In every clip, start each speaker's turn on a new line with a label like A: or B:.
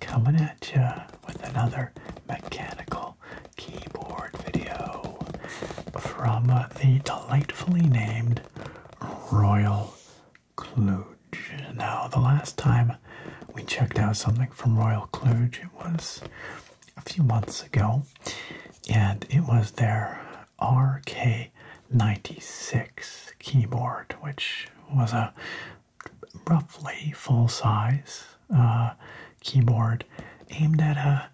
A: coming at you with another mechanical keyboard video from the delightfully named Royal Kluge. Now, the last time we checked out something from Royal Kluge, it was a few months ago, and it was their RK96 keyboard, which was a roughly full size uh, keyboard aimed at a,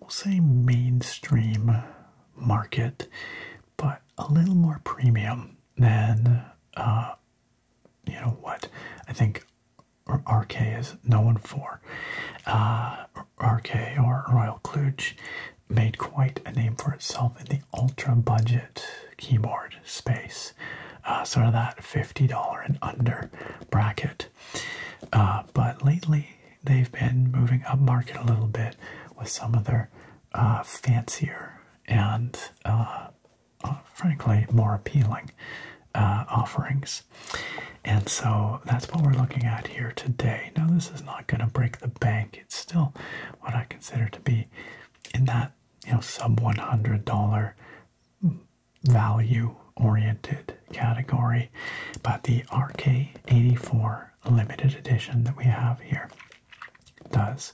A: we'll say, mainstream market, but a little more premium than, uh, you know, what I think RK is known for. Uh, RK or Royal Kluge made quite a name for itself in the ultra budget keyboard space, uh, sort of that $50 and under bracket. Uh, but lately, they've been moving up market a little bit with some of their uh, fancier and frankly more appealing offerings. And so that's what we're looking at here today. Now, this is not going to break the bank. It's still what I consider to be in that you know, sub $100 value oriented category. But the RK84 limited edition that we have here does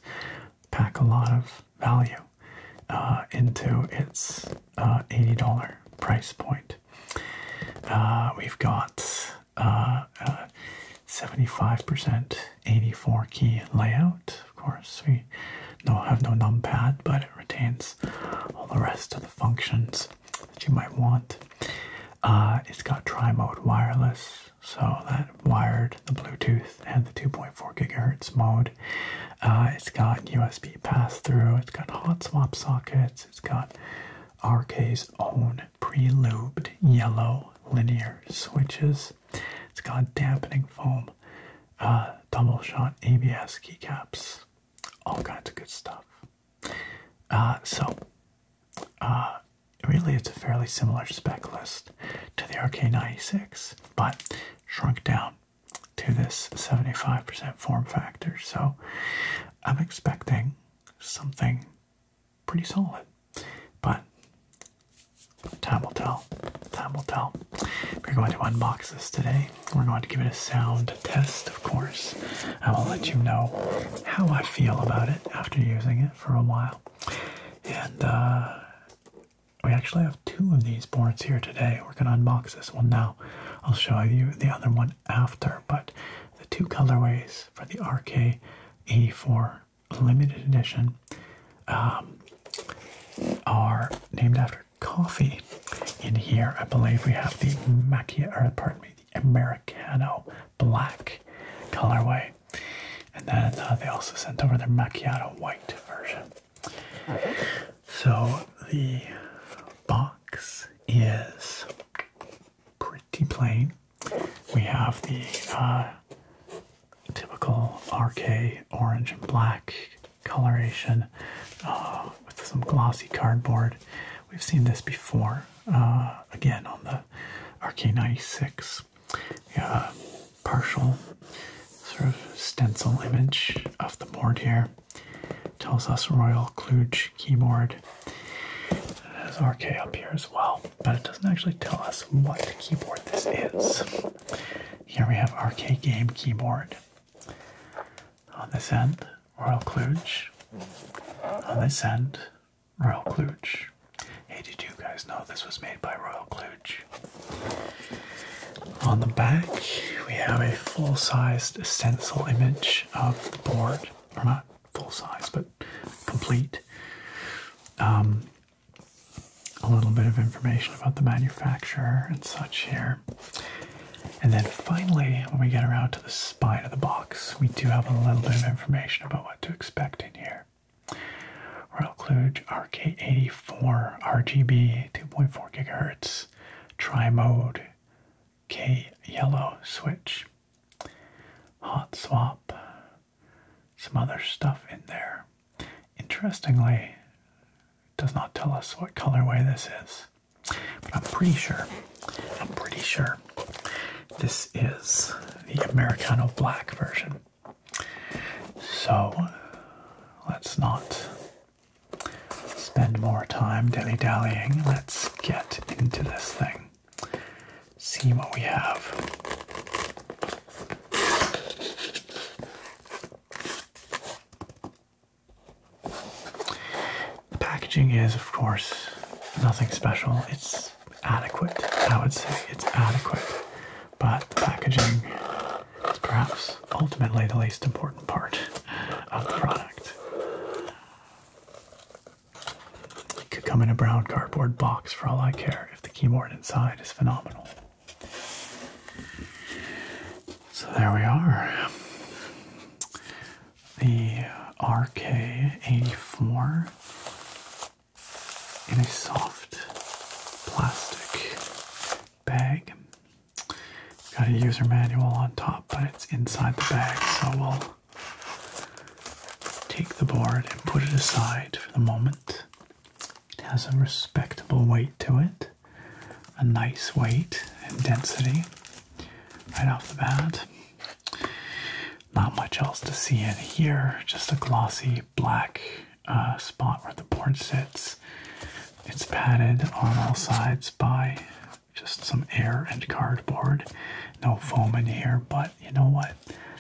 A: pack a lot of value uh, into its uh, $80 price point. Uh, we've got 75% 84 key layout. Of course, we no have no numpad, but it retains all the rest of the functions that you might want. Uh, it's got tri-mode wireless, so that wired the Bluetooth and the 2.4 gigahertz mode. Uh, it's got USB pass-through. It's got hot swap sockets. It's got RK's own pre-lubed yellow linear switches it's got dampening foam, uh, double shot ABS keycaps, all kinds of good stuff. Uh, so, uh, really, it's a fairly similar spec list to the RK96, but shrunk down to this 75% form factor. So, I'm expecting something pretty solid. But time will tell. Time will tell. We're going to unbox this today. We're going to give it a sound test, of course. I will let you know how I feel about it after using it for a while. And uh, we actually have two of these boards here today. We're going to unbox this one now. I'll show you the other one after, but the two colorways for the RK84 limited edition um, are named after coffee. In here, I believe we have the macchiato. or pardon me, the Americano black colorway. And then uh, they also sent over their Macchiato white version. So the box is pretty plain. We have the uh, typical RK orange and black coloration uh, with some glossy cardboard. We've seen this before, uh, again on the RK96. Uh, partial sort of stencil image of the board here. Tells us Royal Kluge keyboard. has RK up here as well, but it doesn't actually tell us what keyboard this is. Here we have arcade game keyboard. On this end, Royal Kluge. On this end, Royal Kluge. Hey, did you guys know this was made by Royal Kluge? On the back, we have a full-sized stencil image of the board, or not full-size, but complete. Um, a little bit of information about the manufacturer and such here. And then finally, when we get around to the spine of the box, we do have a little bit of information about what to expect in here. Royal Kluge RK84 RGB 2.4 gigahertz, tri mode K yellow switch, hot swap, some other stuff in there. Interestingly, it does not tell us what colorway this is, but I'm pretty sure, I'm pretty sure this is the Americano Black version. So let's not spend more time dilly dallying. Let's get into this thing, see what we have. The packaging is, of course, nothing special. It's adequate, I would say. It's adequate. But the packaging is perhaps ultimately the least important part of the product. It could come in a brown cardboard box for all I care if the keyboard inside is phenomenal. So there we are. The RK84 in a soft plastic bag. Got a user manual on top, but it's inside the bag, so we'll take the board and put it aside for the moment it has a respectable weight to it, a nice weight and density right off the bat. Not much else to see in here, just a glossy black uh, spot where the board sits. It's padded on all sides by just some air and cardboard. No foam in here, but you know what?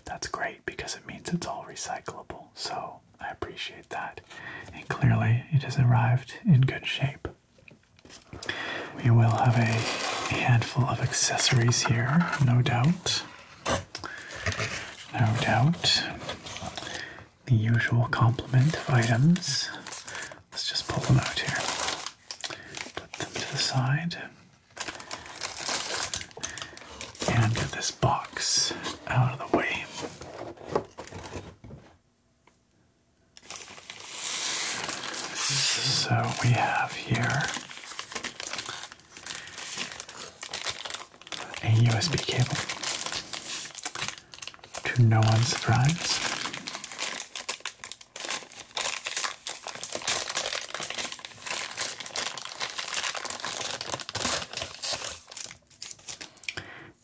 A: That's great because it means it's all recyclable. So I appreciate that. And clearly, it has arrived in good shape. We will have a handful of accessories here, no doubt. No doubt. The usual complement of items. Let's just pull them out here. Put them to the side and get this box out of the way. So we have here a USB cable to no one's surprise.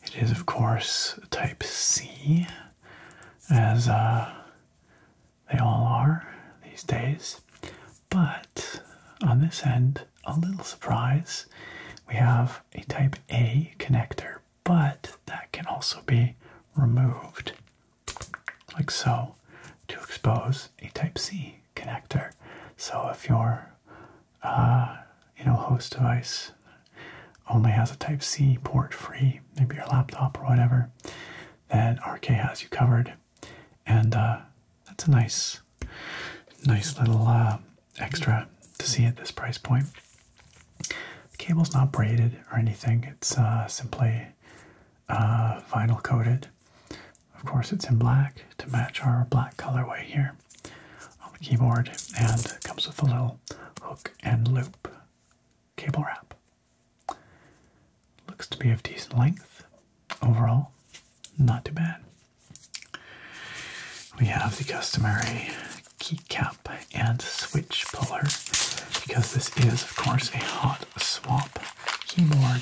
A: It is, of course, type C, as uh, they all are these days. But on this end, a little surprise, we have a type A connector, but that can also be removed, like so, to expose a type C connector. So if you're uh, you know, host device only has a Type C port free, maybe your laptop or whatever, then RK has you covered, and uh, that's a nice, nice little uh, extra to see at this price point. The cable's not braided or anything; it's simply vinyl coated. Of course, it's in black to match our black colorway here on the keyboard, and it comes with a little hook and loop cable wrap. Looks to be of decent length overall, not too bad. We have the customary keycap and switch puller because this is, of course, a hot swap keyboard.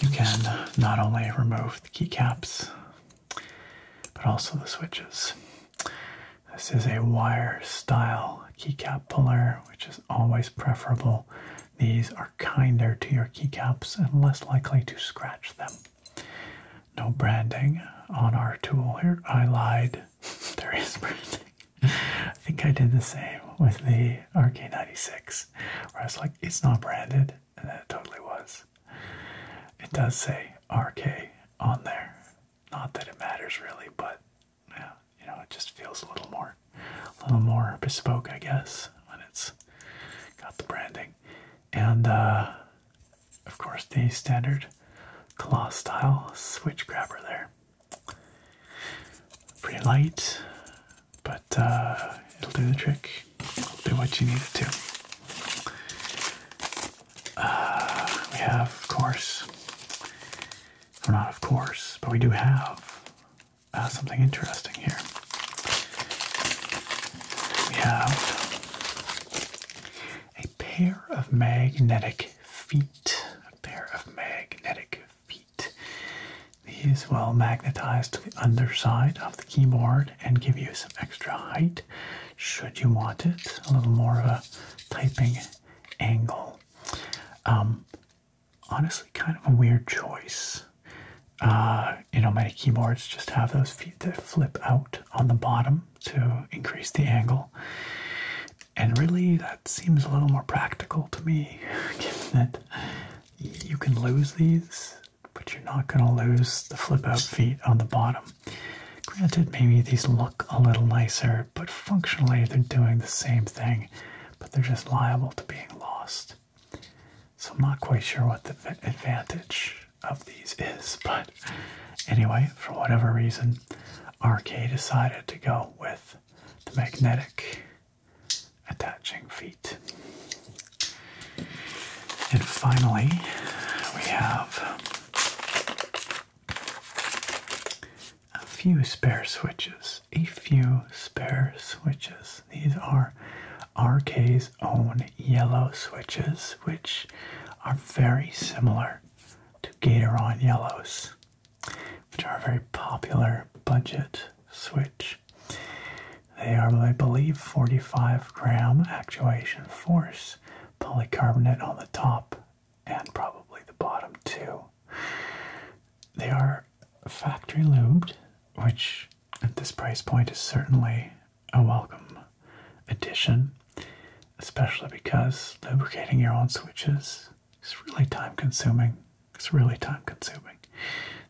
A: You can not only remove the keycaps, but also the switches. This is a wire style keycap puller, which is always preferable. These are kinder to your keycaps and less likely to scratch them. No branding on our tool here. I lied. there is branding. I think I did the same with the RK96, where I was like, it's not branded and it totally was. It does say RK on there. Not that it matters really, but yeah, you know, it just feels a little more, a little more bespoke, I guess, when it's got the branding. And uh, of course, the standard claw style switch grabber there. Pretty light, but uh, it'll do the trick. It'll do what you need it to. Uh, we have, of course, well, not of course, but we do have uh, something interesting here. We have a pair of magnetic feet. A pair of magnetic feet. These will magnetize to the underside of the keyboard and give you some extra height should you want it, a little more of a typing angle. Um, honestly, kind of a weird choice. Uh, you know, many keyboards just have those feet that flip out on the bottom to increase the angle. And really, that seems a little more practical to me, given that you can lose these but you're not going to lose the flip out feet on the bottom. Granted, maybe these look a little nicer, but functionally they're doing the same thing, but they're just liable to being lost. So I'm not quite sure what the advantage of these is, but anyway, for whatever reason, RK decided to go with the magnetic attaching feet. And finally, we have a few spare switches. A few spare switches. These are RK's own yellow switches, which are very similar to Gatoron yellows, which are a very popular budget switch. They are, I believe, 45 gram actuation force, polycarbonate on the top and probably the bottom too. They are factory lubed, which at this price point is certainly a welcome addition, especially because lubricating your own switches is really time consuming. It's really time consuming.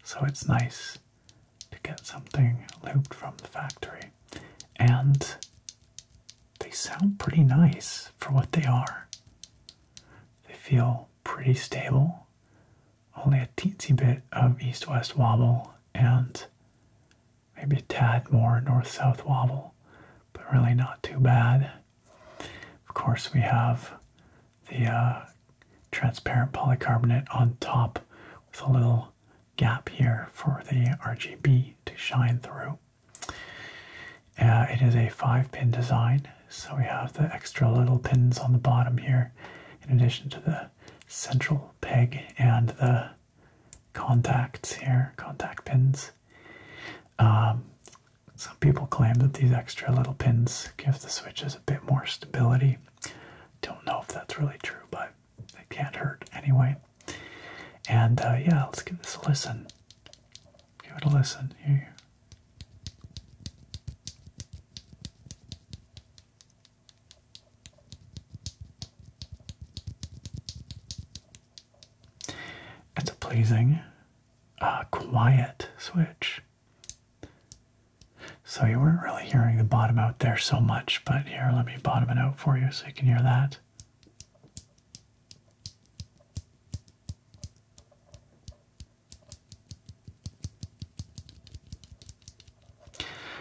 A: So it's nice to get something looped from the factory. And they sound pretty nice for what they are. They feel pretty stable, only a teensy bit of east west wobble and maybe a tad more north south wobble, but really not too bad. Of course, we have the uh, transparent polycarbonate on top with a little gap here for the RGB to shine through. Uh, it is a five pin design, so we have the extra little pins on the bottom here, in addition to the central peg and the contacts here, contact pins. Um, some people claim that these extra little pins give the switches a bit more stability. Don't know if that's really true, but it can't hurt anyway. And uh, yeah, let's give this a listen. Give it a listen here. It's a pleasing, uh, quiet switch. So you weren't really hearing the bottom out there so much, but here, let me bottom it out for you so you can hear that.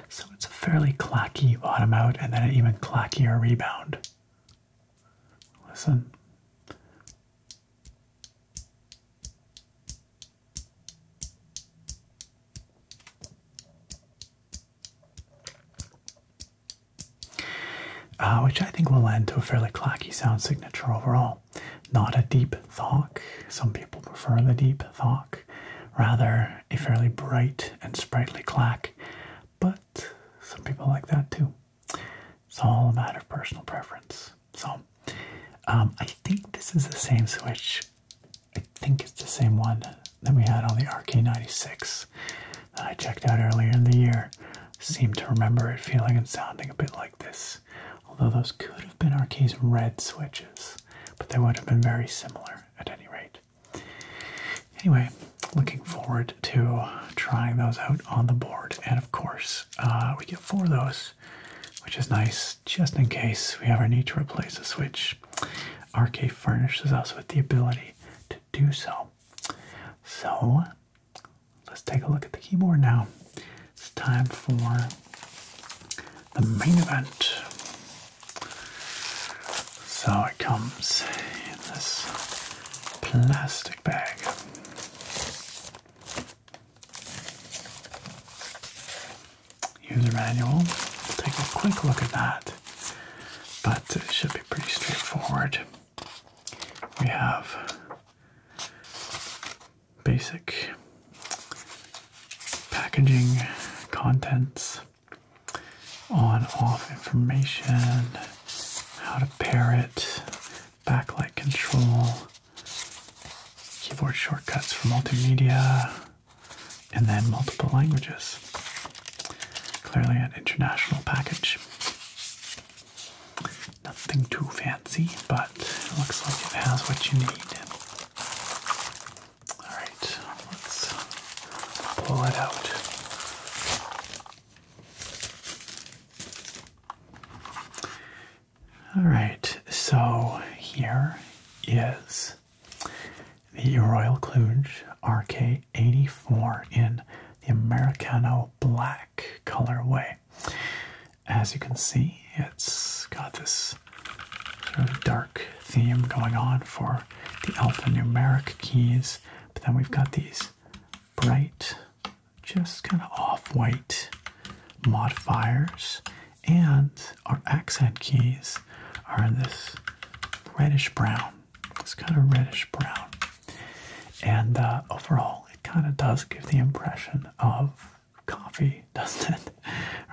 A: So it's a fairly clacky bottom out and then an even clackier rebound. Listen. Uh, which I think will lend to a fairly clacky sound signature overall. Not a deep thock, some people prefer the deep thock, rather a fairly bright and sprightly clack, but some people like that too. It's all a matter of personal preference. So um, I think this is the same switch I think it's the same one that we had on the RK96 that I checked out earlier in the year. Seem to remember it feeling and sounding a bit like this, although those could have been RK's red switches, but they would have been very similar at any rate. Anyway, looking forward to trying those out on the board, and of course, uh, we get four of those, which is nice just in case we ever need to replace a Switch. RK furnishes us with the ability to do so. So, let's take a look at the keyboard now. It's time for the main event. So, it comes in this plastic bag user manual. take a quick look at that, but it should be pretty straightforward. We have basic packaging contents, on off information, how to pair it, backlight control, keyboard shortcuts for multimedia, and then multiple languages. Clearly, an international package. Nothing too fancy, but looks like it has what you need. Alright, let's pull it out. All right, so here is the Royal Kluge RK84 in the Americano black colorway. As you can see, it's got this sort of dark theme going on for the alphanumeric keys, but then we've got these bright, just kind of off white modifiers and our accent keys are this reddish brown. It's kind of reddish brown, and uh, overall, it kind of does give the impression of coffee, doesn't it?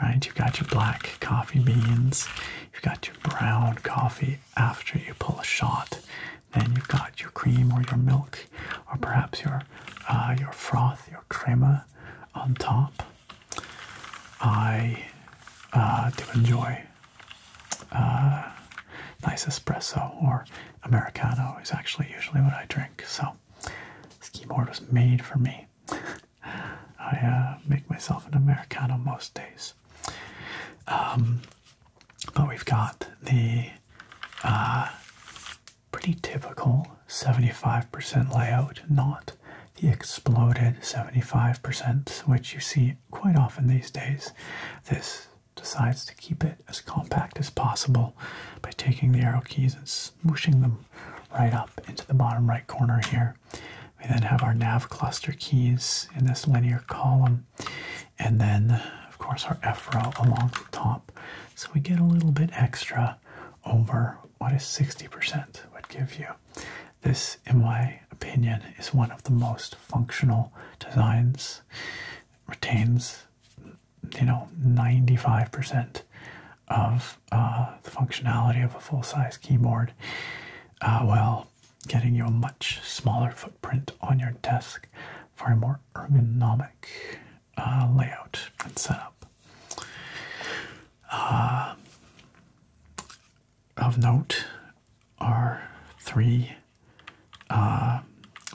A: right? You've got your black coffee beans, you've got your brown coffee after you pull a shot, then you've got your cream or your milk, or perhaps your uh, your froth, your crema on top. I uh, do enjoy uh, nice espresso or Americano is actually usually what I drink. So this keyboard was made for me. I uh, make myself an Americano most days. Um, but we've got the pretty typical 75% layout, not the exploded 75%, which you see quite often these days. This decides to keep it as compact as possible by taking the arrow keys and smooshing them right up into the bottom right corner here. We then have our nav cluster keys in this linear column, and then, of course, our F row along the top. So we get a little bit extra over what is 60% would give you. This, in my opinion, is one of the most functional designs. Retains, you know, 95% of uh, the functionality of a full size keyboard uh, while getting you a much smaller footprint on your desk for a more ergonomic uh, layout and setup. Uh, of note are three uh,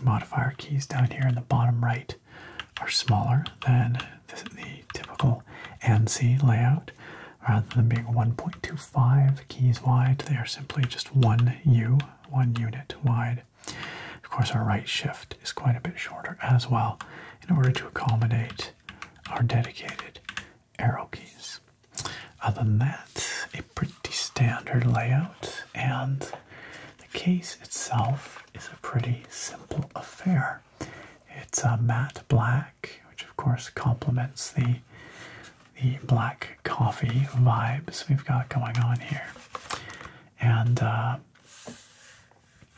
A: modifier keys down here in the bottom right are smaller than the typical ANSI layout. Rather than being 1.25 keys wide, they are simply just one U, one unit wide. Of course, our right shift is quite a bit shorter as well in order to accommodate are dedicated arrow keys. Other than that, a pretty standard layout, and the case itself is a pretty simple affair. It's a uh, matte black, which of course complements the the black coffee vibes we've got going on here, and uh,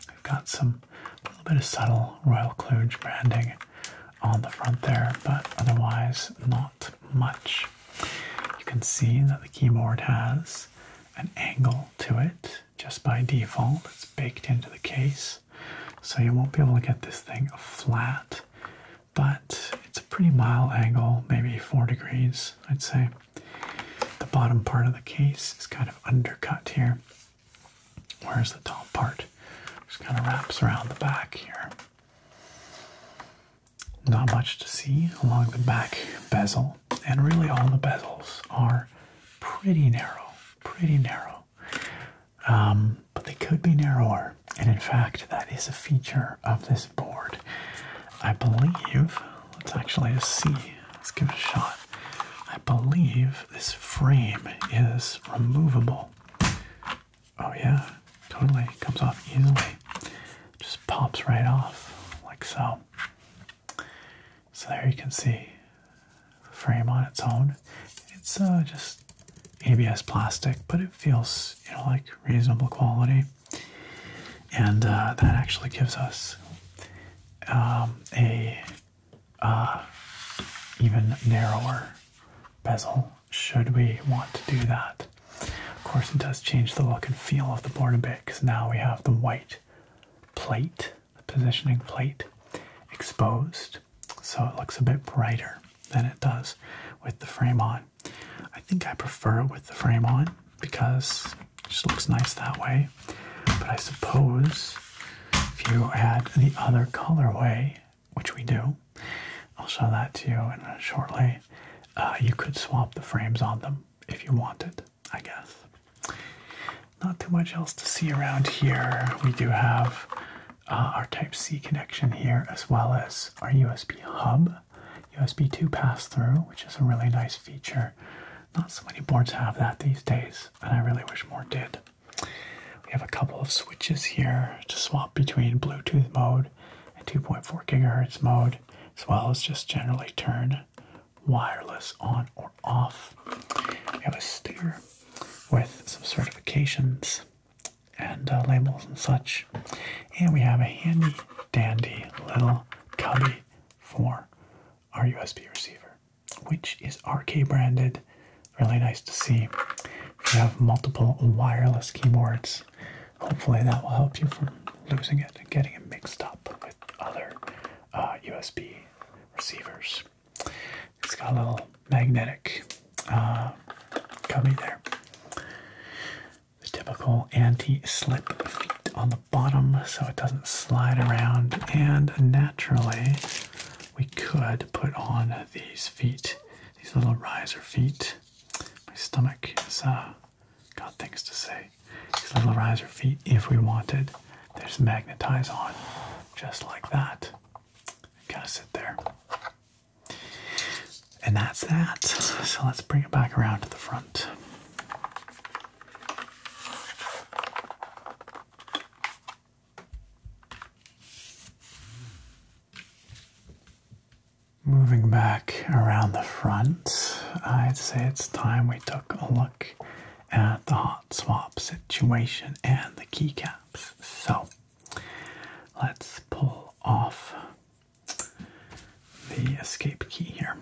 A: We've got some a little bit of subtle Royal Kluge branding on the front there, but otherwise not much. You can see that the keyboard has an angle to it just by default. It's baked into the case, so you won't be able to get this thing flat, but it's a pretty mild angle, maybe four degrees, I'd say. The bottom part of the case is kind of undercut here. Where's the top part? Just kind of wraps around the back here. Not much to see along the back bezel, and really all the bezels are pretty narrow, pretty narrow. Um, but they could be narrower, and in fact, that is a feature of this board. I believe, let's actually see, let's give it a shot. I believe this frame is removable. Oh, yeah, totally. comes off easily. just pops right off, like so. So, there you can see the frame on its own. It's uh, just ABS plastic, but it feels, you know, like reasonable quality. And uh, that actually gives us um, a uh, even narrower bezel should we want to do that. Of course, it does change the look and feel of the board a bit because now we have the white plate, the positioning plate, exposed, so it looks a bit brighter than it does with the frame on. I think I prefer it with the frame on because it just looks nice that way but I suppose if you add the other colorway, which we do, I'll show that to you in a shortly, uh, you could swap the frames on them if you wanted, I guess. Not too much else to see around here. We do have uh, our Type-C connection here as well as our USB hub, USB 2 pass-through, which is a really nice feature. Not so many boards have that these days and I really wish more did. We have a couple of switches here to swap between Bluetooth mode and 2.4 gigahertz mode, as well as just generally turn wireless on or off. We have a sticker with some certifications and uh, labels and such. And we have a handy dandy little cubby for our USB receiver which is RK branded. Really nice to see. If you have multiple wireless keyboards, hopefully that will help you from losing it and getting it mixed up with other USB uh, receivers. It's got a little magnetic uh, cubby there. The typical anti-slip feet on the bottom so it doesn't slide around and naturally we could put on these feet, these little riser feet. My stomach has uh, got things to say. These little riser feet, if we wanted, there's magnetize on, just like that. Kind of sit there. And that's that. So let's bring it back around to the front. Moving back around the front, I'd say it's time we took a look at the hot swap situation and the keycaps. So let's pull off the escape key here.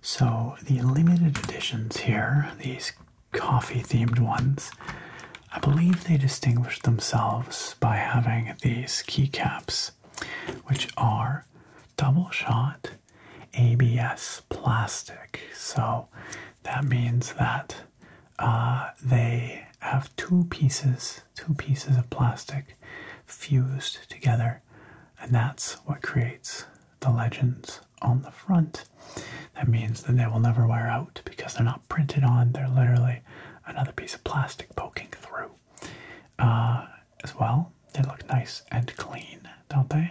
A: So the limited editions here, these coffee themed ones, I believe they distinguish themselves by having these keycaps, which are double shot ABS plastic. So that means that uh, they have two pieces, two pieces of plastic fused together, and that's what creates the legends on the front. That means that they will never wear out because they're not printed on, they're literally another piece of plastic poking through. Uh, as well, they look nice and clean, don't they?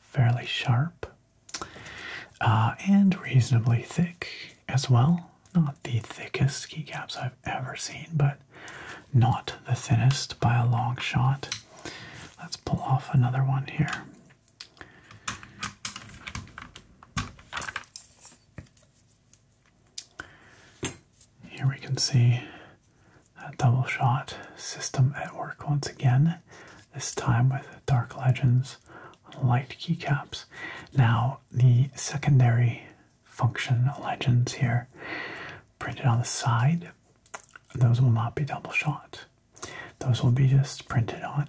A: Fairly sharp uh, and reasonably thick as well. Not the thickest ski caps I've ever seen, but not the thinnest by a long shot. Let's pull off another one here. Here we can see that double shot system at work once again, this time with Dark Legends light keycaps. Now, the secondary function legends here printed on the side those will not be double shot. Those will be just printed on.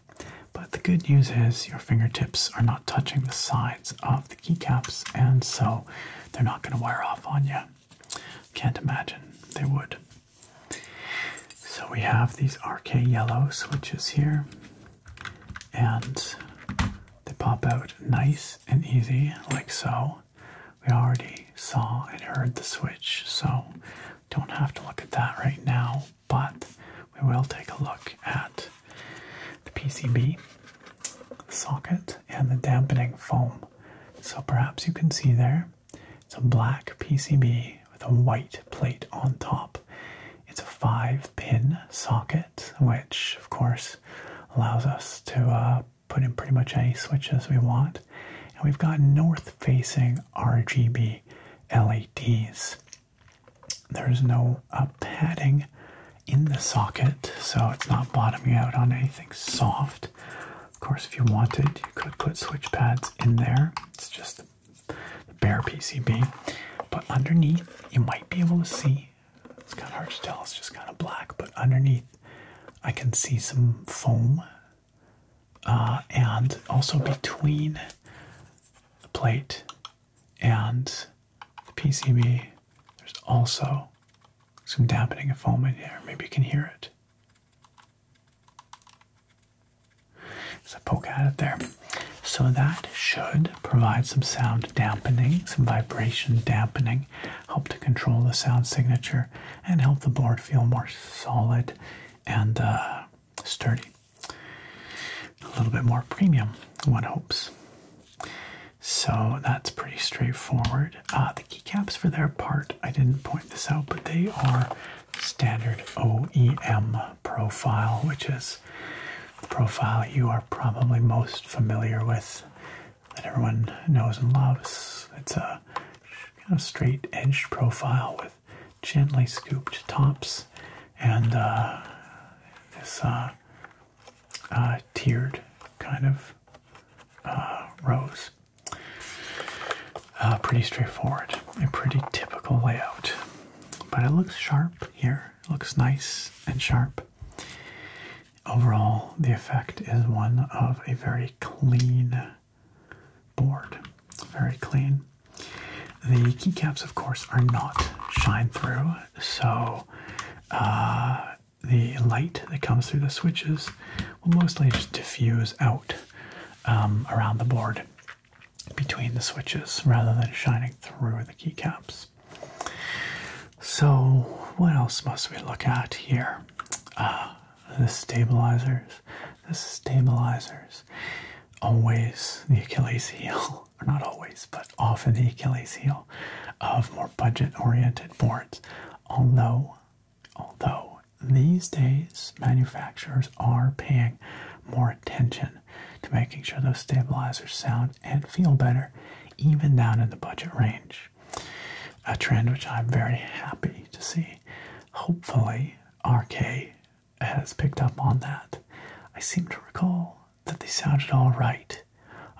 A: But the good news is your fingertips are not touching the sides of the keycaps, and so they're not going to wear off on you. Can't imagine they would. So we have these RK yellow switches here, and they pop out nice and easy, like so we already saw and heard the switch, so don't have to look at that right now, but we will take a look at the PCB socket and the dampening foam. So perhaps you can see there, it's a black PCB with a white plate on top. It's a five pin socket, which of course allows us to uh, put in pretty much any switches we want. And we've got north facing RGB LEDs. There's no uh, padding in the socket, so it's not bottoming out on anything soft. Of course, if you wanted, you could put switch pads in there. It's just the bare PCB. But underneath, you might be able to see. It's kind of hard to tell, it's just kind of black, but underneath, I can see some foam uh, and also between the plate and the PCB, there's also some dampening of foam in here. Maybe you can hear it. So poke at it there. So that should provide some sound dampening, some vibration dampening help to control the sound signature and help the board feel more solid and uh, sturdy. A little bit more premium, one hopes. So that's pretty straightforward. Uh, the keycaps, for their part, I didn't point this out, but they are standard OEM profile, which is the profile you are probably most familiar with, that everyone knows and loves. It's a kind of straight edged profile with gently scooped tops and uh, this uh, uh, tiered kind of uh, rose. pretty straightforward, and pretty typical layout, but it looks sharp here. looks nice and sharp. Overall, the effect is one of a very clean board. Very clean. The keycaps, of course, are not shine through, so uh, the light that comes through the switches will mostly just diffuse out um, around the board between the switches rather than shining through the keycaps. So, what else must we look at here? Uh, the stabilizers. The stabilizers, always the Achilles heel, or not always, but often the Achilles heel of more budget-oriented boards. Although, although these days manufacturers are paying more attention to making sure those stabilizers sound and feel better, even down in the budget range. A trend which I'm very happy to see Hopefully, RK has picked up on that. I seem to recall that they sounded all right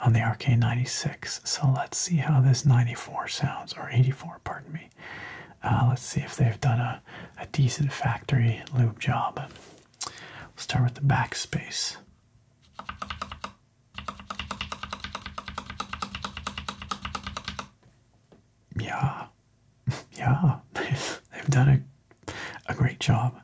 A: on the RK96, so let's see how this 94 sounds, or 84, pardon me. Uh, let's see if they've done a, a decent factory lube job. We'll start with the backspace yeah, yeah, they've done a, a great job.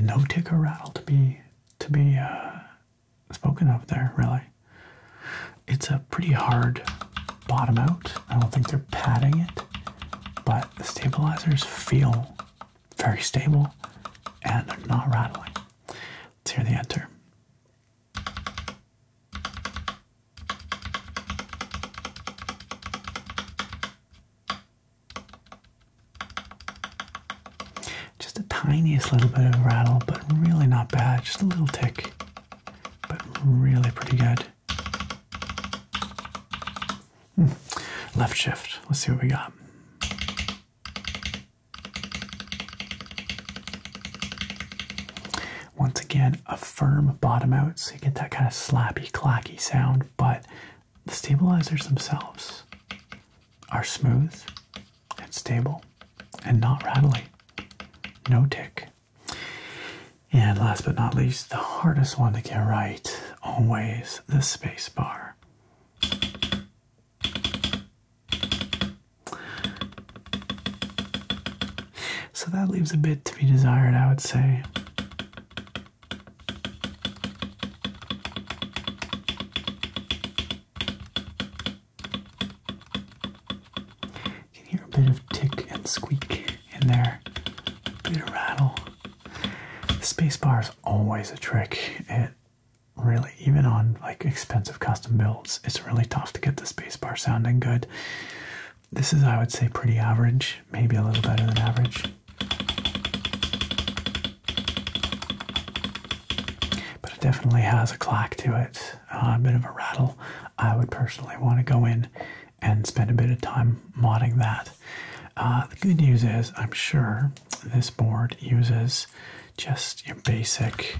A: No tick or rattle to be to be uh, spoken of there, really. It's a pretty hard bottom out. I don't think they're padding it, but the stabilizers feel very stable, and not rattling. Let's hear the enter. Just a tiniest little bit of rattle, but really not bad. Just a little tick, but really pretty good. Left shift. Let's see what we got. Once again, a firm bottom out, so you get that kind of slappy, clacky sound, but the stabilizers themselves are smooth and stable and not rattly. No tick. And last but not least, the hardest one to get right, always the space bar. So that leaves a bit to be desired, I would say. can hear a bit of tick and squeak in there, a bit of rattle. The spacebar always a trick. It really, even on like expensive custom builds, it's really tough to get the spacebar sounding good. This is, I would say, pretty average, maybe a little better than average. But it definitely has a clack to it, uh, a bit of a rattle. I would personally want to go in and spend a bit of time modding that uh, the good news is, I'm sure this board uses just your basic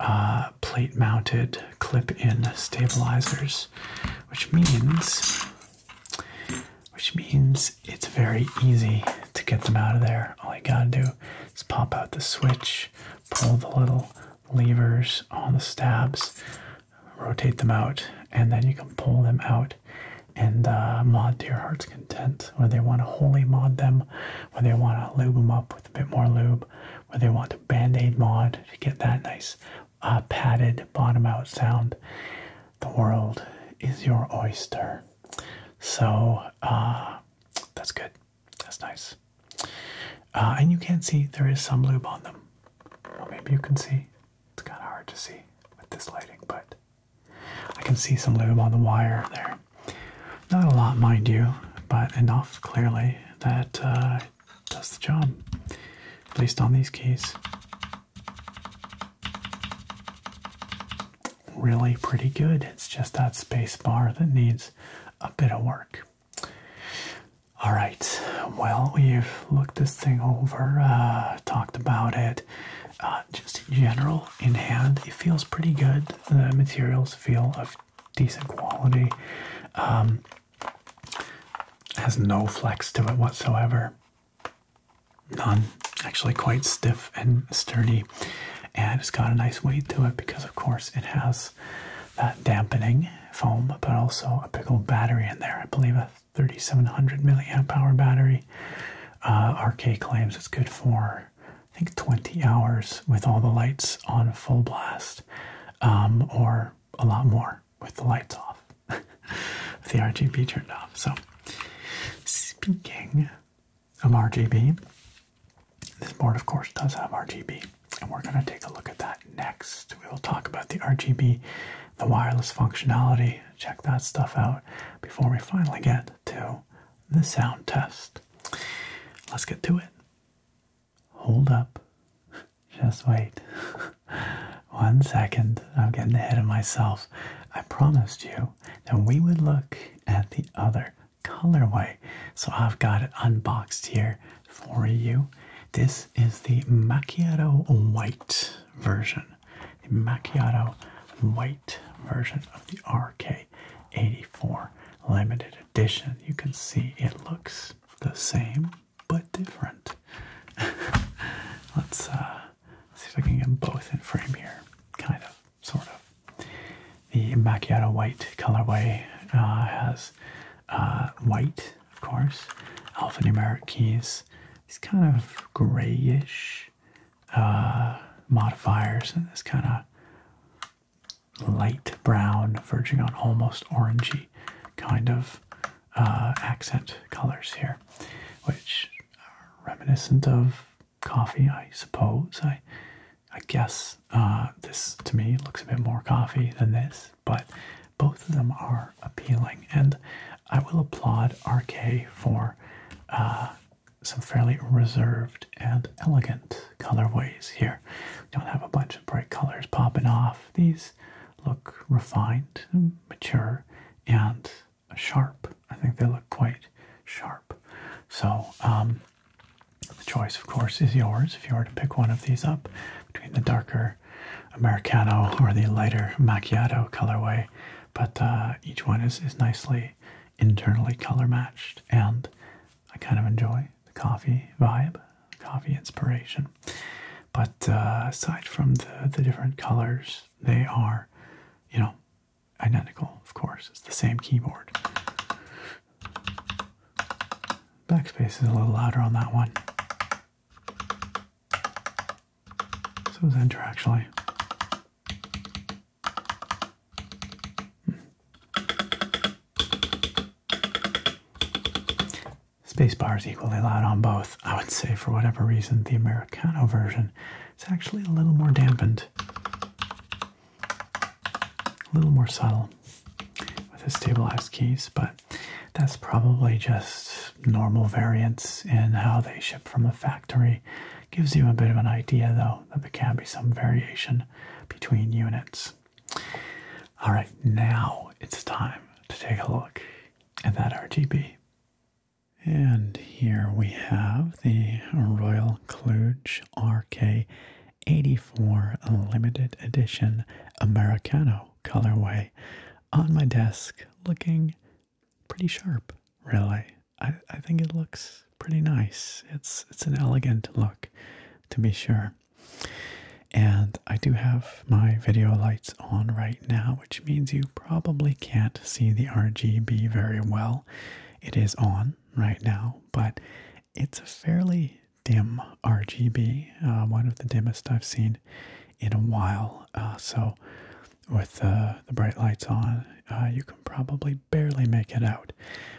A: uh, plate mounted clip in stabilizers, which means. Which means it's very easy to get them out of there. All you gotta do is pop out the switch, pull the little levers on the stabs, rotate them out, and then you can pull them out and uh, mod to your heart's content, where they want to wholly mod them, where they want to lube them up with a bit more lube, where they want to band aid mod to get that nice uh, padded bottom out sound. The world is your oyster. So uh, that's good. That's nice. and you can see there is some lube on them. Well, maybe you can see. It's kind of hard to see with this lighting, but I can see some lube on the wire there. Not a lot, mind you, but enough clearly that uh, does the job, at least on these keys. Really pretty good. It's just that space bar that needs a bit of work. All right, well, we've looked this thing over, uh, talked about it. Uh, just in general in hand it feels pretty good the materials feel of decent quality um, has no flex to it whatsoever none actually quite stiff and sturdy and it's got a nice weight to it because of course it has that dampening foam but also a big old battery in there i believe 3700 milliamp hour battery. Uh, RK claims it's good for I think 20 hours with all the lights on full blast, um, or a lot more with the lights off, the RGB turned off. So, speaking of RGB, this board of course does have RGB, and we're going to take a look at that next. We will talk about the RGB, the wireless functionality, check that stuff out before we finally get to the sound test. Let's get to it. Hold up. Just wait. One second. I'm getting ahead of myself. I promised you that we would look at the other colorway. So I've got it unboxed here for you. This is the Macchiato White version the Macchiato white version of the RK84 limited edition. You can see it looks the same but different. Uh, let's see if I can get both in frame here. Kind of, sort of. The Macchiato white colorway uh, has uh, white, of course, alphanumeric keys. These kind of grayish uh, modifiers and this kind of light brown, verging on almost orangey kind of uh, accent colors here, which are reminiscent of coffee, I suppose. I, I guess uh, this to me looks a bit more coffee than this, but both of them are appealing. And I will applaud RK for uh, some fairly reserved and elegant colorways here. We don't have a bunch of bright colors popping off. These look refined, mature, and sharp. I think they look quite sharp. So, um, the choice, of course, is yours if you were to pick one of these up between the darker Americano or the lighter macchiato colorway. But uh, each one is, is nicely internally color matched, and I kind of enjoy the coffee vibe, coffee inspiration. But uh, aside from the, the different colors, they are, you know, identical, of course. It's the same keyboard. Backspace is a little louder on that one. So is Enter actually. Hmm. Spacebar is equally loud on both. I would say, for whatever reason, the Americano version is actually a little more dampened, a little more subtle with the stabilized keys, but that's probably just normal variance in how they ship from the factory Gives you a bit of an idea though that there can be some variation between units. All right, now it's time to take a look at that RGB. And here we have the Royal Kluge RK84 Limited Edition Americano colorway on my desk looking pretty sharp, really. I, I think it looks pretty nice. It's it's an elegant look, to be sure. And I do have my video lights on right now, which means you probably can't see the RGB very well. It is on right now, but it's a fairly dim RGB, uh, one of the dimmest I've seen in a while. Uh, so with uh, the bright lights on, uh, you can probably barely make it out.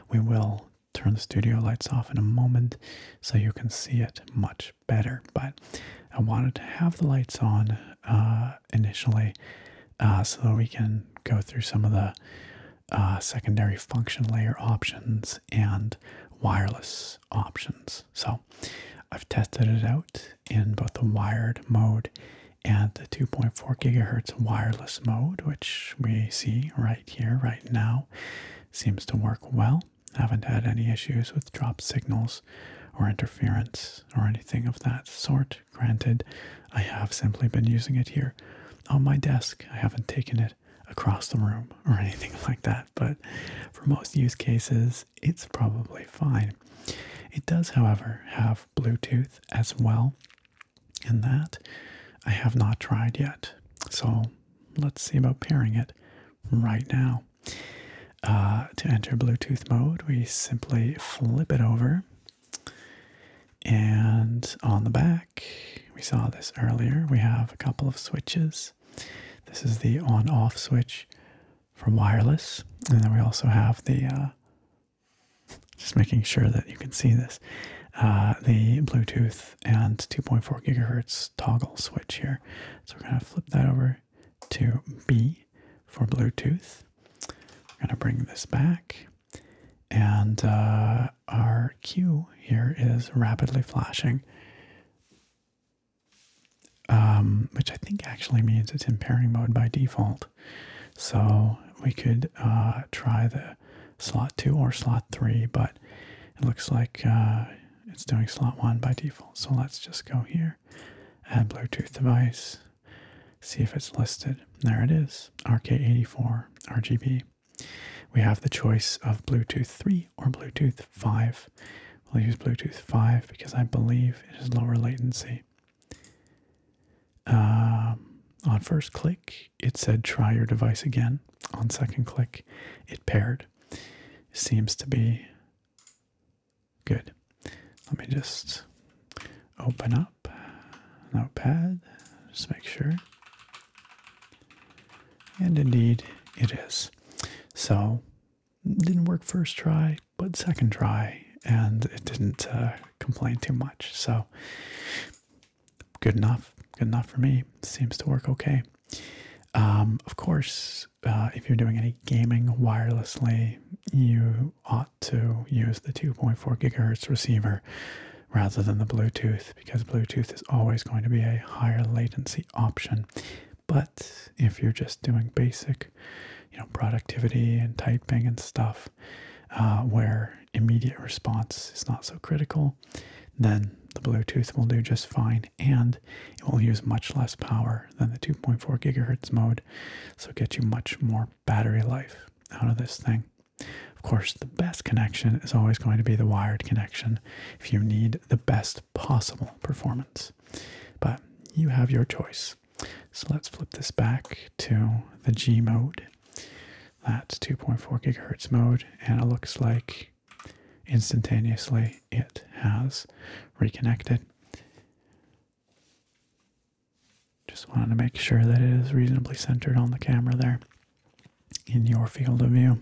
A: We will turn the studio lights off in a moment so you can see it much better. But I wanted to have the lights on uh, initially so we can go through some of the secondary function layer options and wireless options. So I've tested it out in both the wired mode and the 2.4 gigahertz wireless mode, which we see right here, right now. Seems to work well. Haven't had any issues with drop signals or interference or anything of that sort. Granted, I have simply been using it here on my desk. I haven't taken it across the room or anything like that, but for most use cases, it's probably fine. It does, however, have Bluetooth as well. And that I have not tried yet. So let's see about pairing it right now. Uh, to enter Bluetooth mode, we simply flip it over. And on the back, we saw this earlier, we have a couple of switches. This is the on off switch for wireless. And then we also have the uh, just making sure that you can see this, uh, the Bluetooth and 2.4 gigahertz toggle switch here. So we're going to flip that over to B for Bluetooth. We're going to bring this back. And uh, our Q here is rapidly flashing, um, which I think actually means it's in pairing mode by default. So we could uh, try the slot 2 or slot 3, but it looks like uh, it's doing slot 1 by default. So let's just go here, add Bluetooth device, see if it's listed. There it is, RK84 RGB. We have the choice of Bluetooth 3 or Bluetooth 5. We'll use Bluetooth 5 because I believe it is lower latency. Um, on first click, it said try your device again. On second click, it paired. Seems to be good. Let me just open up Notepad, just make sure. And indeed, it is. So, didn't work first try but second try, and it didn't uh, complain too much. So good enough, good enough for me. Seems to work okay. Um, of course, uh, if you're doing any gaming wirelessly, you ought to use the 2.4 gigahertz receiver rather than the Bluetooth because Bluetooth is always going to be a higher latency option. But if you're just doing basic you know productivity and typing and stuff uh, where immediate response is not so critical then the bluetooth will do just fine and it will use much less power than the 2.4 gigahertz mode so get you much more battery life out of this thing of course the best connection is always going to be the wired connection if you need the best possible performance but you have your choice so let's flip this back to the G mode. That's 2.4 gigahertz mode, and it looks like instantaneously it has reconnected. Just wanted to make sure that it is reasonably centered on the camera there in your field of view.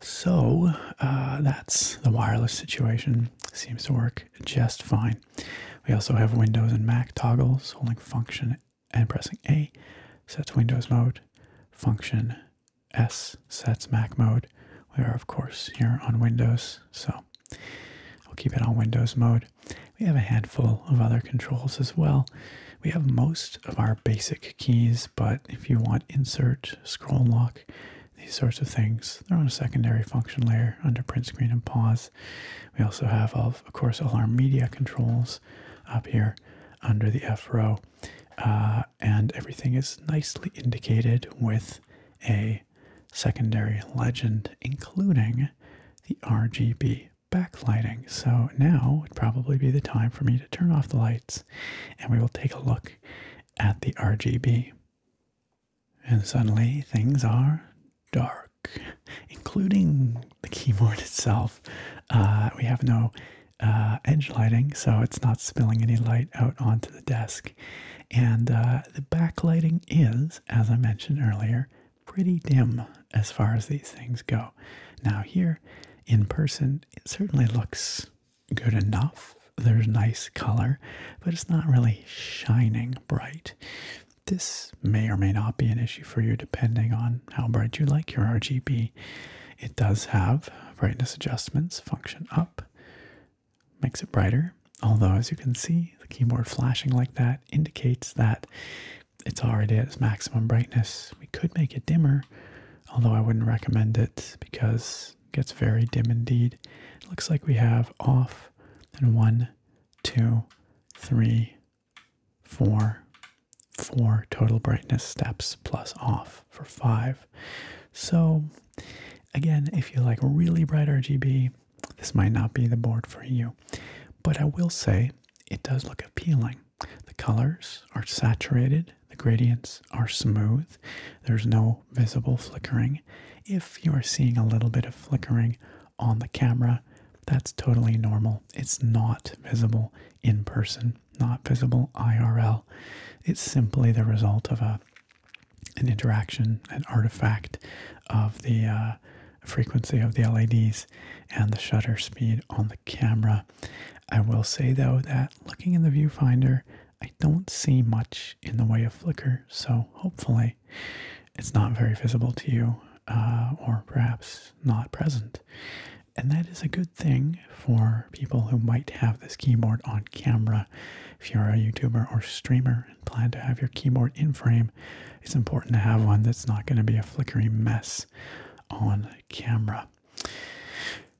A: So uh, that's the wireless situation. Seems to work just fine. We also have Windows and Mac toggles, holding function and pressing A sets Windows mode, function S sets Mac mode. We are, of course, here on Windows, so I'll keep it on Windows mode. We have a handful of other controls as well. We have most of our basic keys, but if you want insert, scroll lock, these sorts of things, they're on a secondary function layer under print screen and pause. We also have, of, course, all our media controls up here under the F row. Uh, and everything is nicely indicated with a secondary legend, including the RGB backlighting. So now would probably be the time for me to turn off the lights and we will take a look at the RGB. And suddenly things are dark, including the keyboard itself. Uh, we have no uh, edge lighting, so it's not spilling any light out onto the desk. And uh, the backlighting is, as I mentioned earlier, pretty dim as far as these things go. Now, here in person, it certainly looks good enough. There's nice color, but it's not really shining bright. This may or may not be an issue for you depending on how bright you like your RGB. It does have brightness adjustments function up, makes it brighter. Although, as you can see, the keyboard flashing like that indicates that it's already at its maximum brightness. We could make it dimmer, although I wouldn't recommend it because it gets very dim indeed. looks like we have off and one two, three, four, four total brightness steps plus off for five. So, again, if you like really bright RGB, this might not be the board for you, but I will say it does look appealing. The colors are saturated, the gradients are smooth, there's no visible flickering. If you are seeing a little bit of flickering on the camera. That's totally normal. It's not visible in person, not visible IRL. It's simply the result of a an interaction, an artifact of the uh, frequency of the LEDs and the shutter speed on the camera. I will say though that looking in the viewfinder, I don't see much in the way of flicker, so hopefully it's not very visible to you, uh, or perhaps not present. And that is a good thing for people who might have this keyboard on camera. If you're a YouTuber or streamer and plan to have your keyboard in frame, it's important to have one that's not going to be a flickery mess on camera.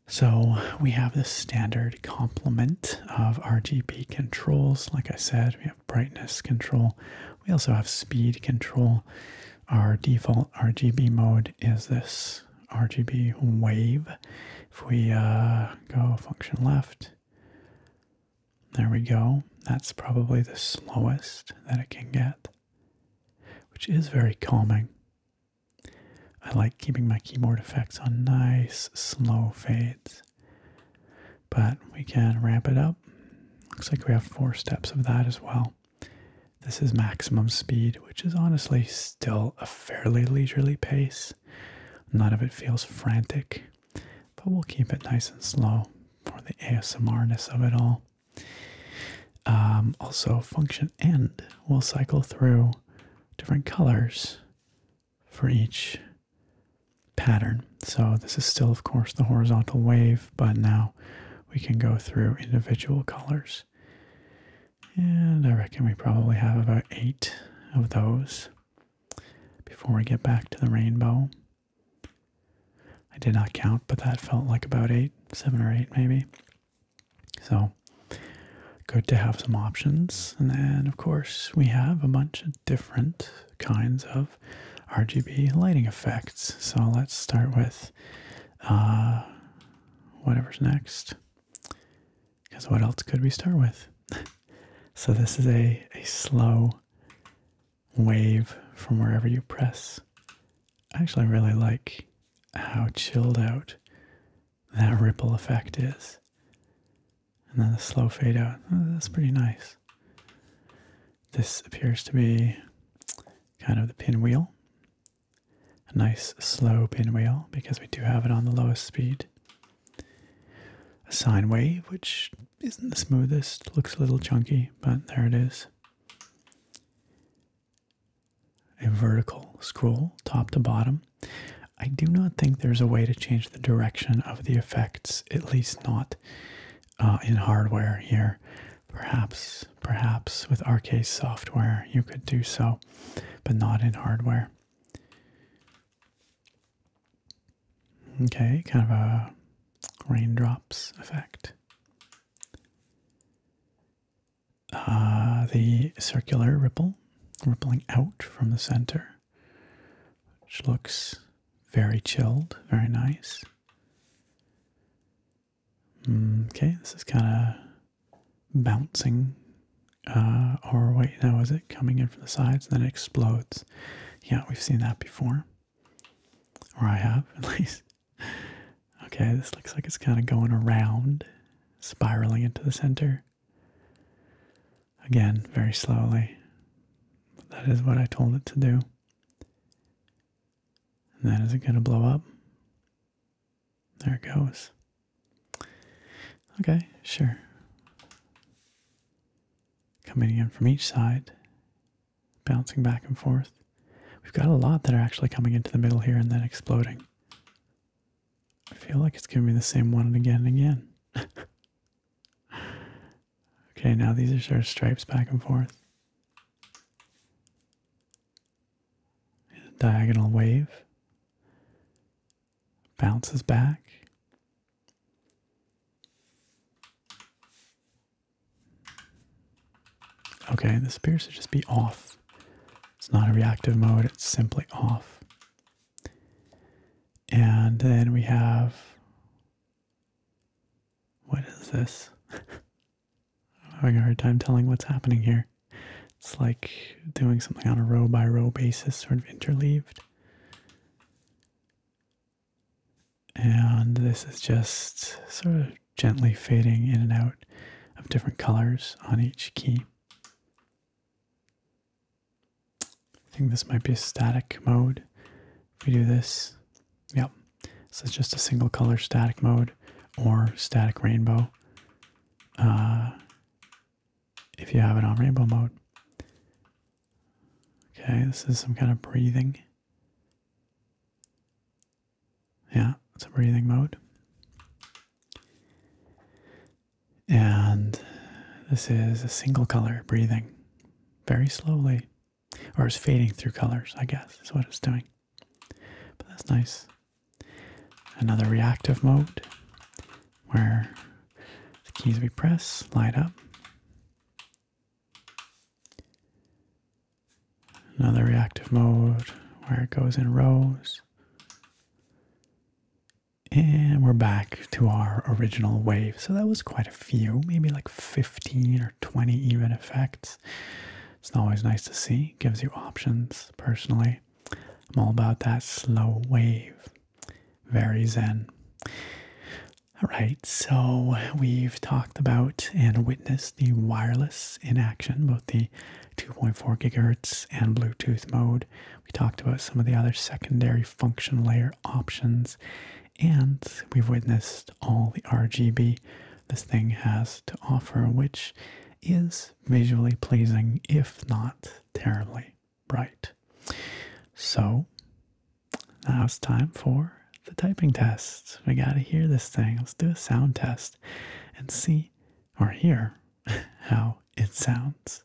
A: So we have the standard complement of RGB controls. Like I said, we have brightness control. We also have speed control. Our default RGB mode is this RGB wave. If we uh, go function left, there we go. That's probably the slowest that it can get, which is very calming. I like keeping my keyboard effects on nice, slow fades. But we can ramp it up. Looks like we have four steps of that as well. This is maximum speed, which is honestly still a fairly leisurely pace. None of it feels frantic, but we'll keep it nice and slow for the ASMRness of it all. Um, also, function end will cycle through different colors for each pattern. So this is still, of course, the horizontal wave, but now we can go through individual colors. And I reckon we probably have about eight of those before we get back to the rainbow. I did not count, but that felt like about eight, seven or eight maybe. So good to have some options. And then, of course, we have a bunch of different kinds of RGB lighting effects. So let's start with uh, whatever's next. Because what else could we start with? so this is a, a slow wave from wherever you press. I actually really like how chilled out that ripple effect is and then a slow fade out. Oh, that's pretty nice. This appears to be kind of the pinwheel. A nice slow pinwheel because we do have it on the lowest speed. A sine wave, which isn't the smoothest, looks a little chunky, but there it is. A vertical scroll, top to bottom. I do not think there's a way to change the direction of the effects, at least not uh, in hardware here. Perhaps, perhaps with RK software you could do so, but not in hardware. Okay, kind of a raindrops effect. Uh, the circular ripple rippling out from the center, which looks very chilled, very nice. Mm, okay, this is kind of bouncing uh, or wait, now is it coming in from the sides and then it explodes? Yeah, we've seen that before. Or I have, at least. Okay, this looks like it's kind of going around, spiraling into the center. Again, very slowly. that is what I told it to do. And then it going to blow up? There it goes. Okay, sure. Coming in from each side, bouncing back and forth. We've got a lot that are actually coming into the middle here and then exploding. I feel like it's going to be the same one and again and again. Okay, now these are sort of stripes back and forth. Diagonal wave bounces back. Okay, this appears to just be off. It's not a reactive mode, it's simply off. And then we have what is this? I'm having a hard time telling what's happening here. It's like doing something on a row by row basis, sort of interleaved. And this is just sort of gently fading in and out of different colors on each key. I think this might be a static mode. If we do this, yep. So it's just a single color static mode or static rainbow. Uh, if you have it on rainbow mode. Okay, this is some kind of breathing. Yeah, it's a breathing mode. And this is a single color breathing very slowly, or it's fading through colors, I guess, is what it's doing. But that's nice. Another reactive mode where the keys we press light up. Another reactive mode where it goes in rows. And we're back to our original wave. So that was quite a few, maybe like 15 or 20 even effects. It's always nice to see, gives you options personally. I'm all about that slow wave, very zen. All right, so we've talked about and witnessed the wireless in action, both the 2.4 gigahertz and Bluetooth mode. We talked about some of the other secondary function layer options and we've witnessed all the RGB this thing has to offer, which is visually pleasing, if not terribly bright. So now it's time for the typing test. We gotta hear this thing. Let's do a sound test and see or hear how it sounds.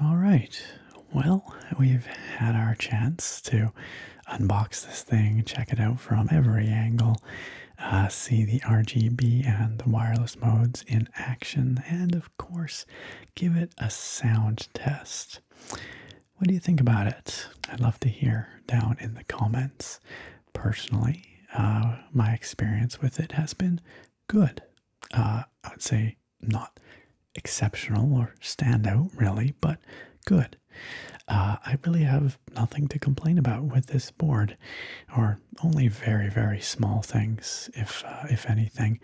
A: All right. Well, we've had our chance to unbox this thing, check it out from every angle, uh, see the RGB and the wireless modes in action, and of course, give it a sound test. What do you think about it? I'd love to hear down in the comments personally, uh, my experience with it has been good. Uh, I'd say not exceptional or stand out really, but good. Uh, I really have nothing to complain about with this board, or only very, very small things, if if anything,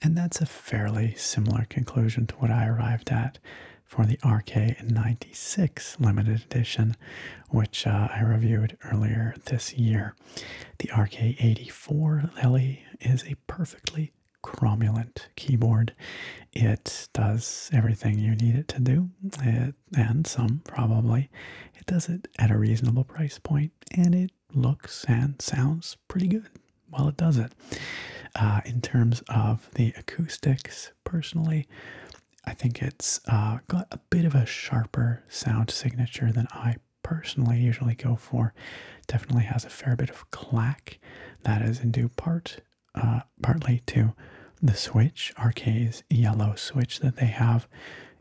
A: and that's a fairly similar conclusion to what I arrived at for the RK96 limited edition, which uh, I reviewed earlier this year. The RK84 LE is a perfectly cromulent keyboard. It does everything you need it to do, it, eh, and some probably. It does it at a reasonable price point, and it looks and sounds pretty good while it does it. Uh, in terms of the acoustics, personally, I think it's uh, got a bit of a sharper sound signature than I personally usually go for. Definitely has a fair bit of clack. That is in due part, uh, partly to the switch. RK's yellow switch that they have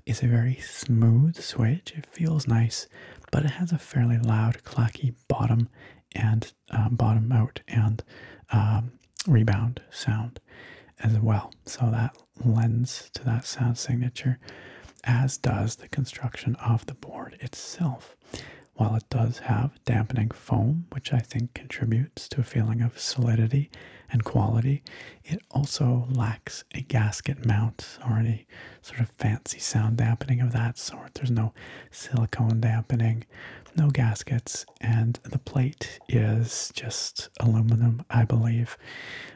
A: is a very smooth switch. It feels nice, but it has a fairly loud, clacky bottom and uh, bottom out and um, rebound sound as well. So that lends to that sound signature, as does the construction of the board itself. While it does have dampening foam, which I think contributes to a feeling of solidity and quality, it also lacks a gasket mount or any sort of fancy sound dampening of that sort. There's no silicone dampening, no gaskets and the plate is just aluminum, I believe.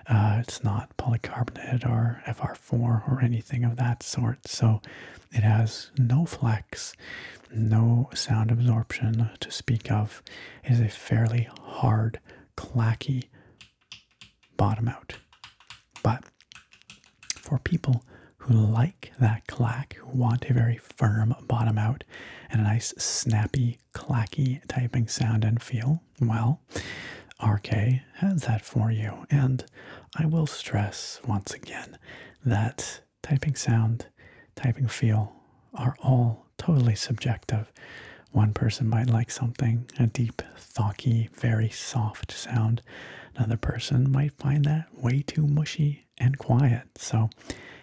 A: Uh, it's not polycarbonate or FR4 or anything of that sort, so it has no flex, no sound absorption to speak of. is a fairly hard, clacky bottom out. But for people who like that clack who want a very firm bottom out and a nice snappy, clacky typing sound and feel, well, RK has that for you. And I will stress once again that typing sound, typing feel are all totally subjective. One person might like something, a deep, thocky, very soft sound. Another person might find that way too mushy, and quiet. So,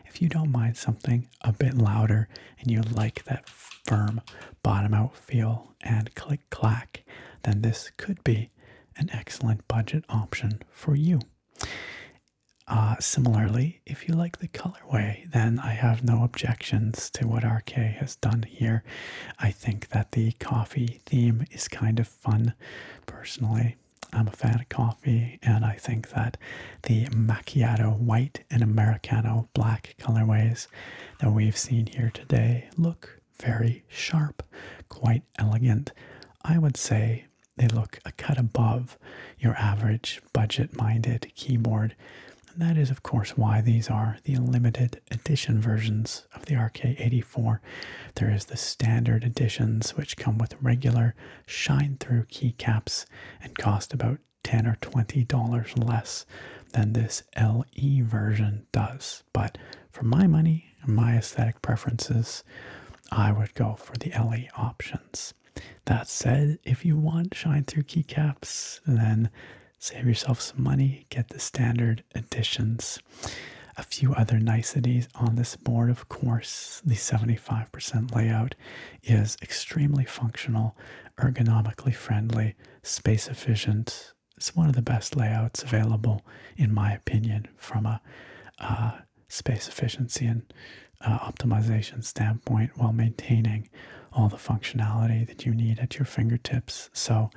A: if you don't mind something a bit louder and you like that firm bottom out feel and click clack, then this could be an excellent budget option for you. Uh, similarly, if you like the colorway, then I have no objections to what RK has done here. I think that the coffee theme is kind of fun, personally. I'm a fan of coffee, and I think that the macchiato white and Americano black colorways that we've seen here today look very sharp, quite elegant. I would say they look a cut above your average budget minded keyboard. And that is, of course, why these are the limited edition versions of the RK84. There is the standard editions, which come with regular shine through keycaps and cost about 10 or 20 dollars less than this LE version does. But for my money and my aesthetic preferences, I would go for the LE options. That said, if you want shine through keycaps, then save yourself some money, get the standard editions. A few other niceties on this board, of course, the 75% layout is extremely functional, ergonomically friendly, space efficient. It's one of the best layouts available, in my opinion, from a uh, space efficiency and uh, optimization standpoint while maintaining all the functionality that you need at your fingertips. So,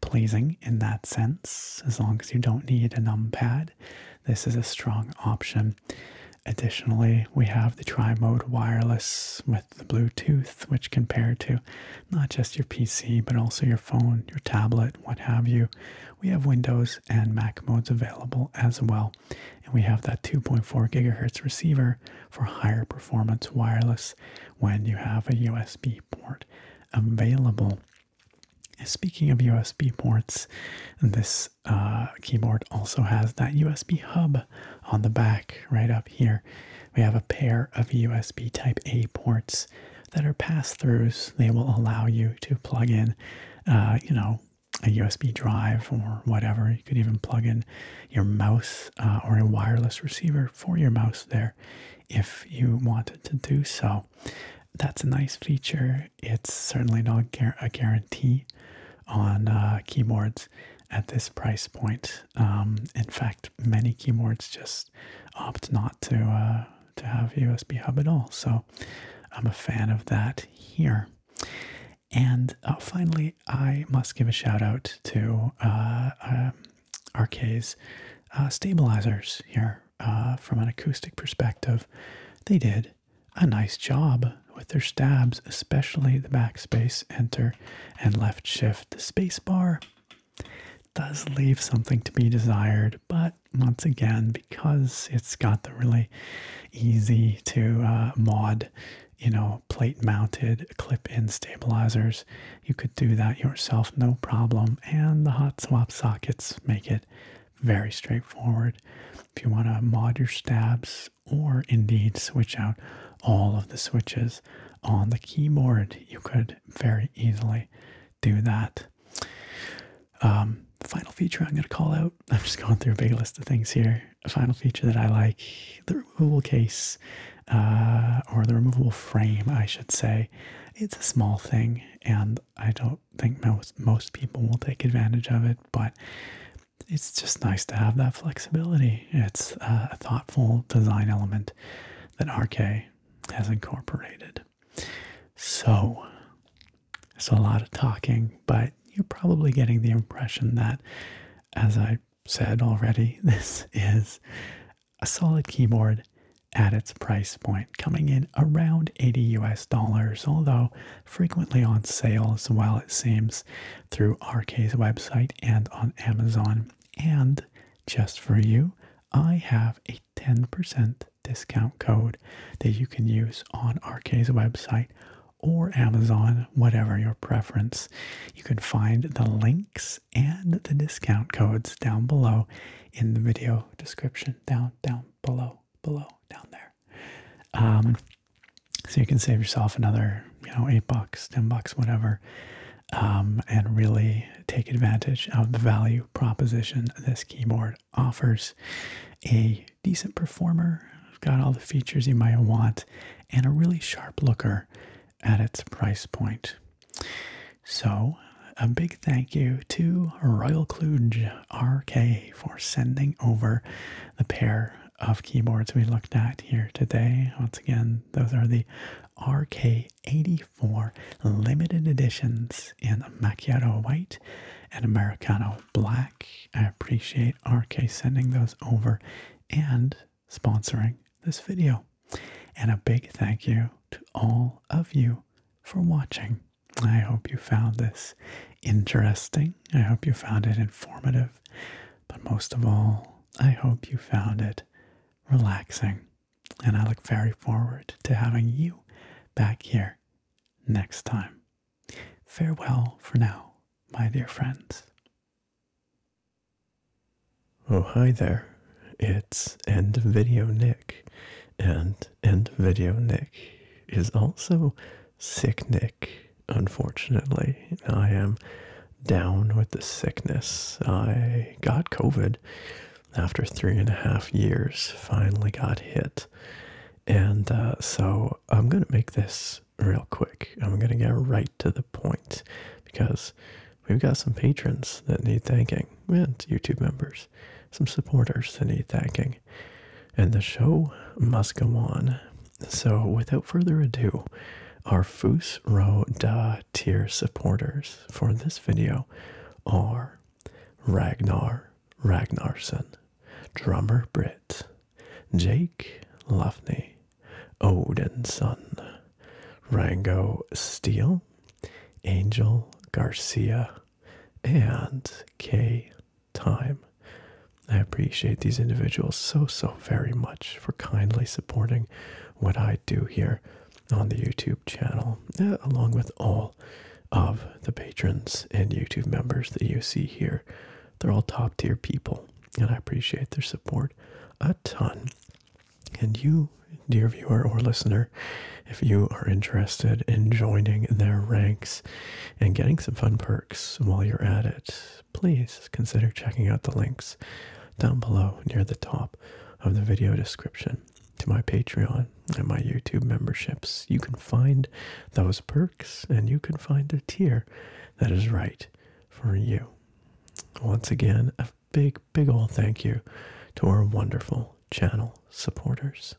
A: pleasing in that sense, as long as you don't need a numpad. This is a strong option Additionally, we have the tri mode wireless with the Bluetooth, which can to not just your PC but also your phone, your tablet, what have you. We have Windows and Mac modes available as well, and we have that 2.4 gigahertz receiver for higher performance wireless when you have a USB port available. Speaking of USB ports, this uh, keyboard also has that USB hub on the back right up here. We have a pair of USB Type A ports that are pass-throughs. They will allow you to plug in, uh, you know, a USB drive or whatever. You could even plug in your mouse uh, or a wireless receiver for your mouse there if you wanted to do so. That's a nice feature it's certainly not a guarantee on uh, keyboards at this price point. Um, in fact, many keyboards just opt not to uh, to have USB hub at all. So I'm a fan of that here. And uh, finally, I must give a shout out to uh, um, RK's stabilizers here. from an acoustic perspective, they did a nice job with their stabs, especially the backspace, enter, and left shift. The spacebar does leave something to be desired, but once again, because it's got the really easy to uh, mod, you know, plate mounted clip in stabilizers, you could do that yourself no problem. And the hot swap sockets make it very straightforward if you want to mod your stabs or indeed switch out all of the switches on the keyboard, you could very easily do that. Um, final feature I'm going to call out, I'm just going through a big list of things here. A final feature that I like the removable case uh, or the removable frame, I should say. It's a small thing, and I don't think most most people will take advantage of it, but it's just nice to have that flexibility. It's a thoughtful design element that RK has incorporated. So, it's a lot of talking, but you're probably getting the impression that, as I said already, this is a solid keyboard at its price point, coming in around 80 US dollars, although frequently on sale as well, it seems, through RK's website and on Amazon. And just for you, I have a 10% discount code that you can use on RK's website or Amazon, whatever your preference. You can find the links and the discount codes down below in the video description, down, down, below, below, down there. Um, so you can save yourself another, you know, eight bucks, ten bucks, whatever, um, and really take advantage of the value proposition this keyboard offers. A decent performer, got all the features you might want, and a really sharp looker at its price point. So, a big thank you to Royal Kluge RK for sending over the pair of keyboards we looked at here today. Once again, those are the RK84 limited editions in Macchiato White and Americano Black. I appreciate RK sending those over and sponsoring this video. And a big thank you to all of you for watching. I hope you found this interesting. I hope you found it informative. But most of all, I hope you found it relaxing. And I look very forward to having you back here next time. Farewell for now, my dear friends. Oh, hi there. It's End Video Nick, and End Video Nick is also sick Nick, unfortunately. I am down with the sickness. I got COVID after three and a half years, finally got hit. And uh, so I'm going to make this real quick. I'm going to get right to the point because we've got some patrons that need thanking and YouTube members, some supporters that need thanking and the show must go on. So, without further ado, our Foos Row tier supporters for this video are Ragnar Ragnarsson, Drummer Britt, Jake Luffney, Odinson, Rango Steele, Angel Garcia, and K time. I appreciate these individuals so, so very much for kindly supporting what I do here on the YouTube channel, uh, along with all of the patrons and YouTube members that you see here. They're all top tier people, and I appreciate their support a ton. And you, dear viewer or listener, if you are interested in joining their ranks, and getting some fun perks while you're at it, please consider checking out the links down below near the top of the video description to my Patreon and my YouTube memberships. You can find those perks and you can find a tier that is right for you. Once again, a big, big ol' thank you to our wonderful channel supporters.